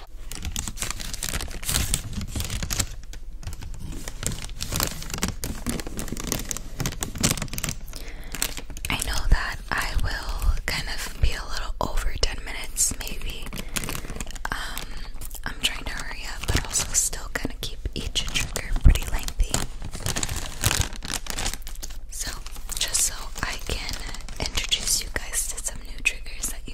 I know that I will kind of be a little over 10 minutes, maybe. Um, I'm trying to hurry up, but also still kind of keep each trigger pretty lengthy. So, just so I can introduce you guys to some new triggers that my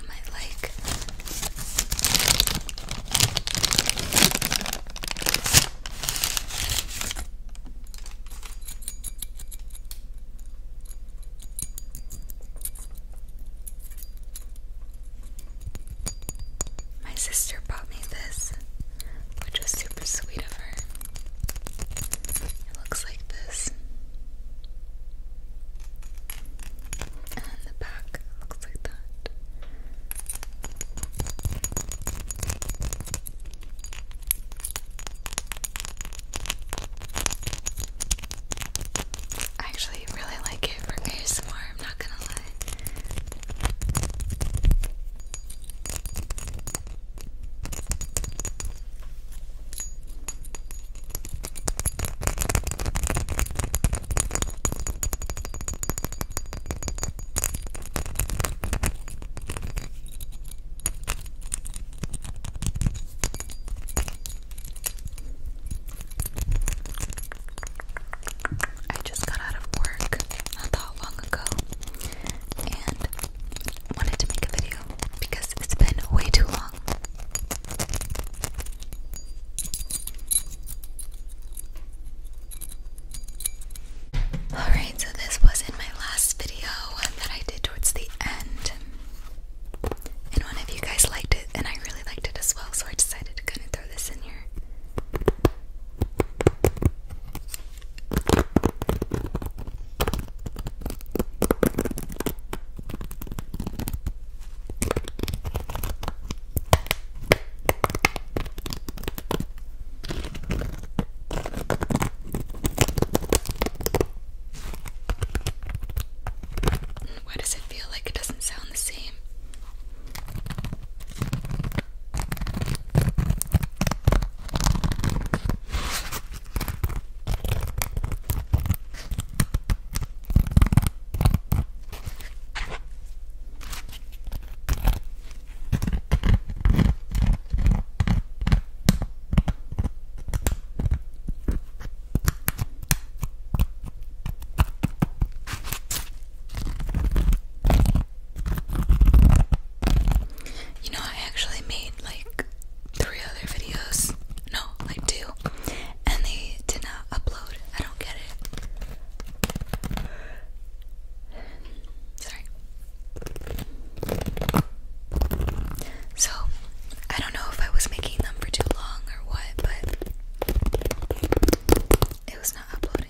sister bought me this, which was super sweet of her. It looks like this. And the back looks like that. I actually really like it for ASMR, I'm not gonna lie. I just got out of work not that long ago and wanted to make a video because it's been way too long. Alright, so this was in my last video that I did towards the end. And one of you guys liked it, and I really liked it as well, so I decided to kind of throw this in here. Why does it feel like it doesn't sound the same? You know, I actually made like three other videos. No, like two. And they did not upload. I don't get it. Sorry. So, I don't know if I was making them for too long or what, but it was not uploading.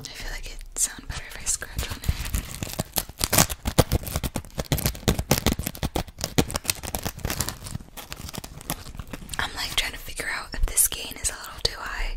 I feel like it'd sound better if I scratch on it. I'm like trying to figure out if this gain is a little too high.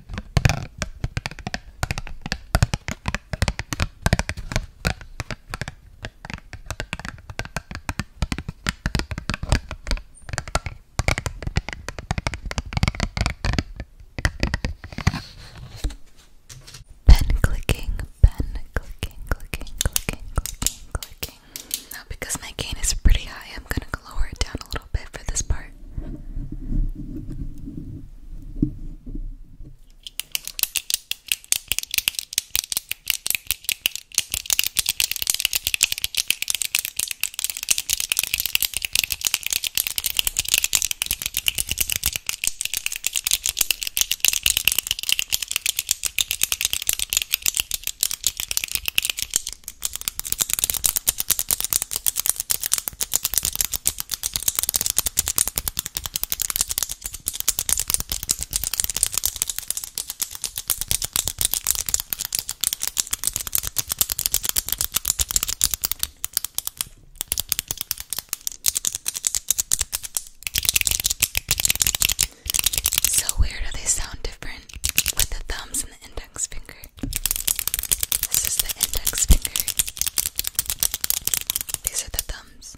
Pen clicking, pen clicking, clicking, clicking, clicking, clicking. Now because my gain is pretty high, I'm gonna lower it down a little little bit for this part. So weird how they sound different with the thumbs and index finger. This is the index finger. These are the thumbs.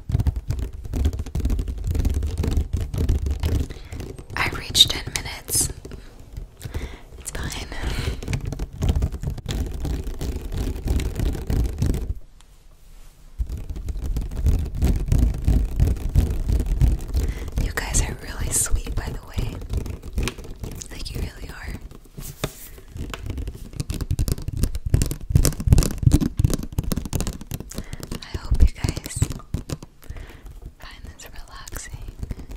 I reached 10 minutes. It's fine. You guys are really sweet, by the way. Like, you really are. I hope you guys find this relaxing,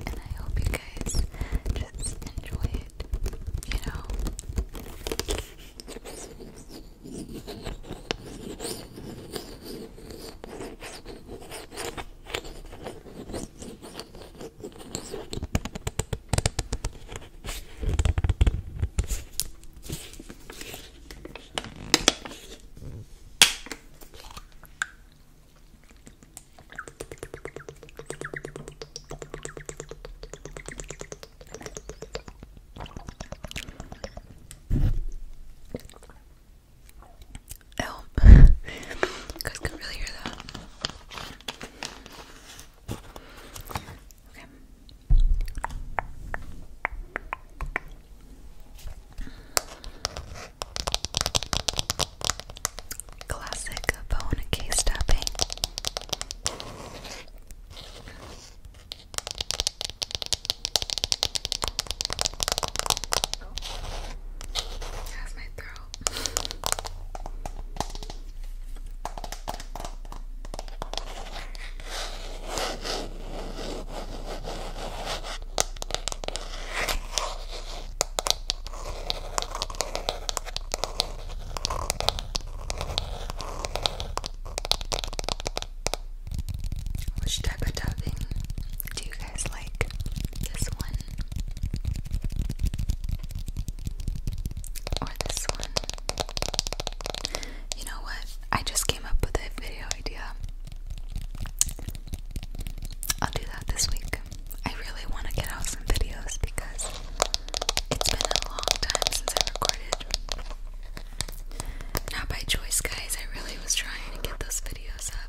and I hope you guys just enjoy it, you know. Oh, you guys can really hear that. Okay. Classic bone key tapping. that's my throat. Which type of dubbing do you guys like? This one or this one? You know what? I just came up with a video idea. I'll do that this week. I really want to get out some videos because it's been a long time since I recorded. Not by choice, guys. I really was trying to get those videos up.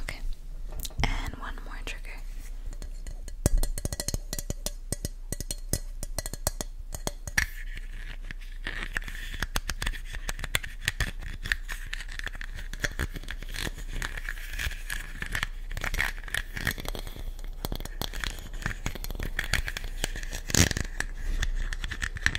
Okay, and one more trigger.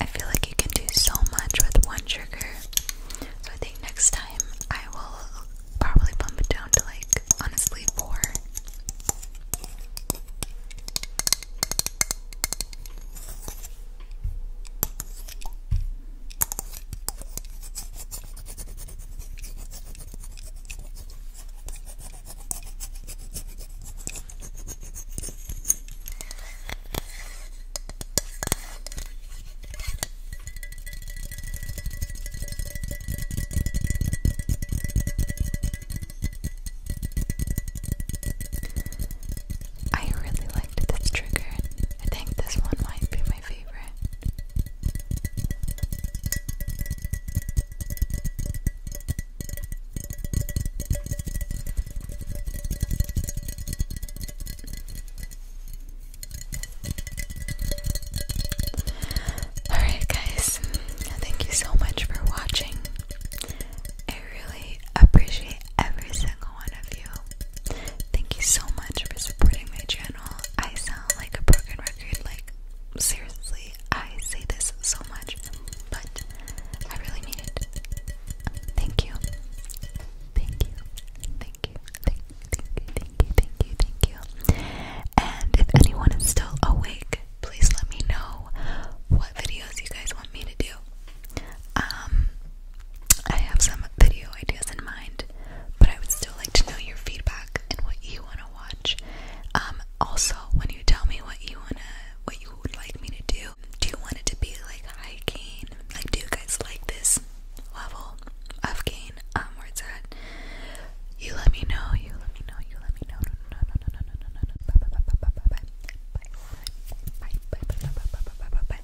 I feel like you can do so much with one trigger. So I think next time I will probably bump it down to like honestly four. I really liked this trigger. I think this one might be my favorite. Alright, guys, thank you so much for watching. I really appreciate every single one of you. Thank you so much for supporting my channel. I sound like a broken record, like, seriously, I say this so much, but I really mean it. Thank you. Thank you. Thank you. Thank you. Thank you. Thank you. Thank you. And if anyone is still awake, please let me know what videos you guys want me to do. Um, I have some video ideas in mind, but I would still like to know your feedback and what you want to watch. also, when you tell me what you wanna, what you would like me to do, do you want it to be like high Like, do you guys like this level of gain? Um, words it's at? You let me know. You let me know. You let me know. No, no, no, no, no, no, no, no. Bye, bye, bye, bye, bye, bye, bye, bye, bye, bye, bye, bye, bye, bye, bye, bye, bye, bye.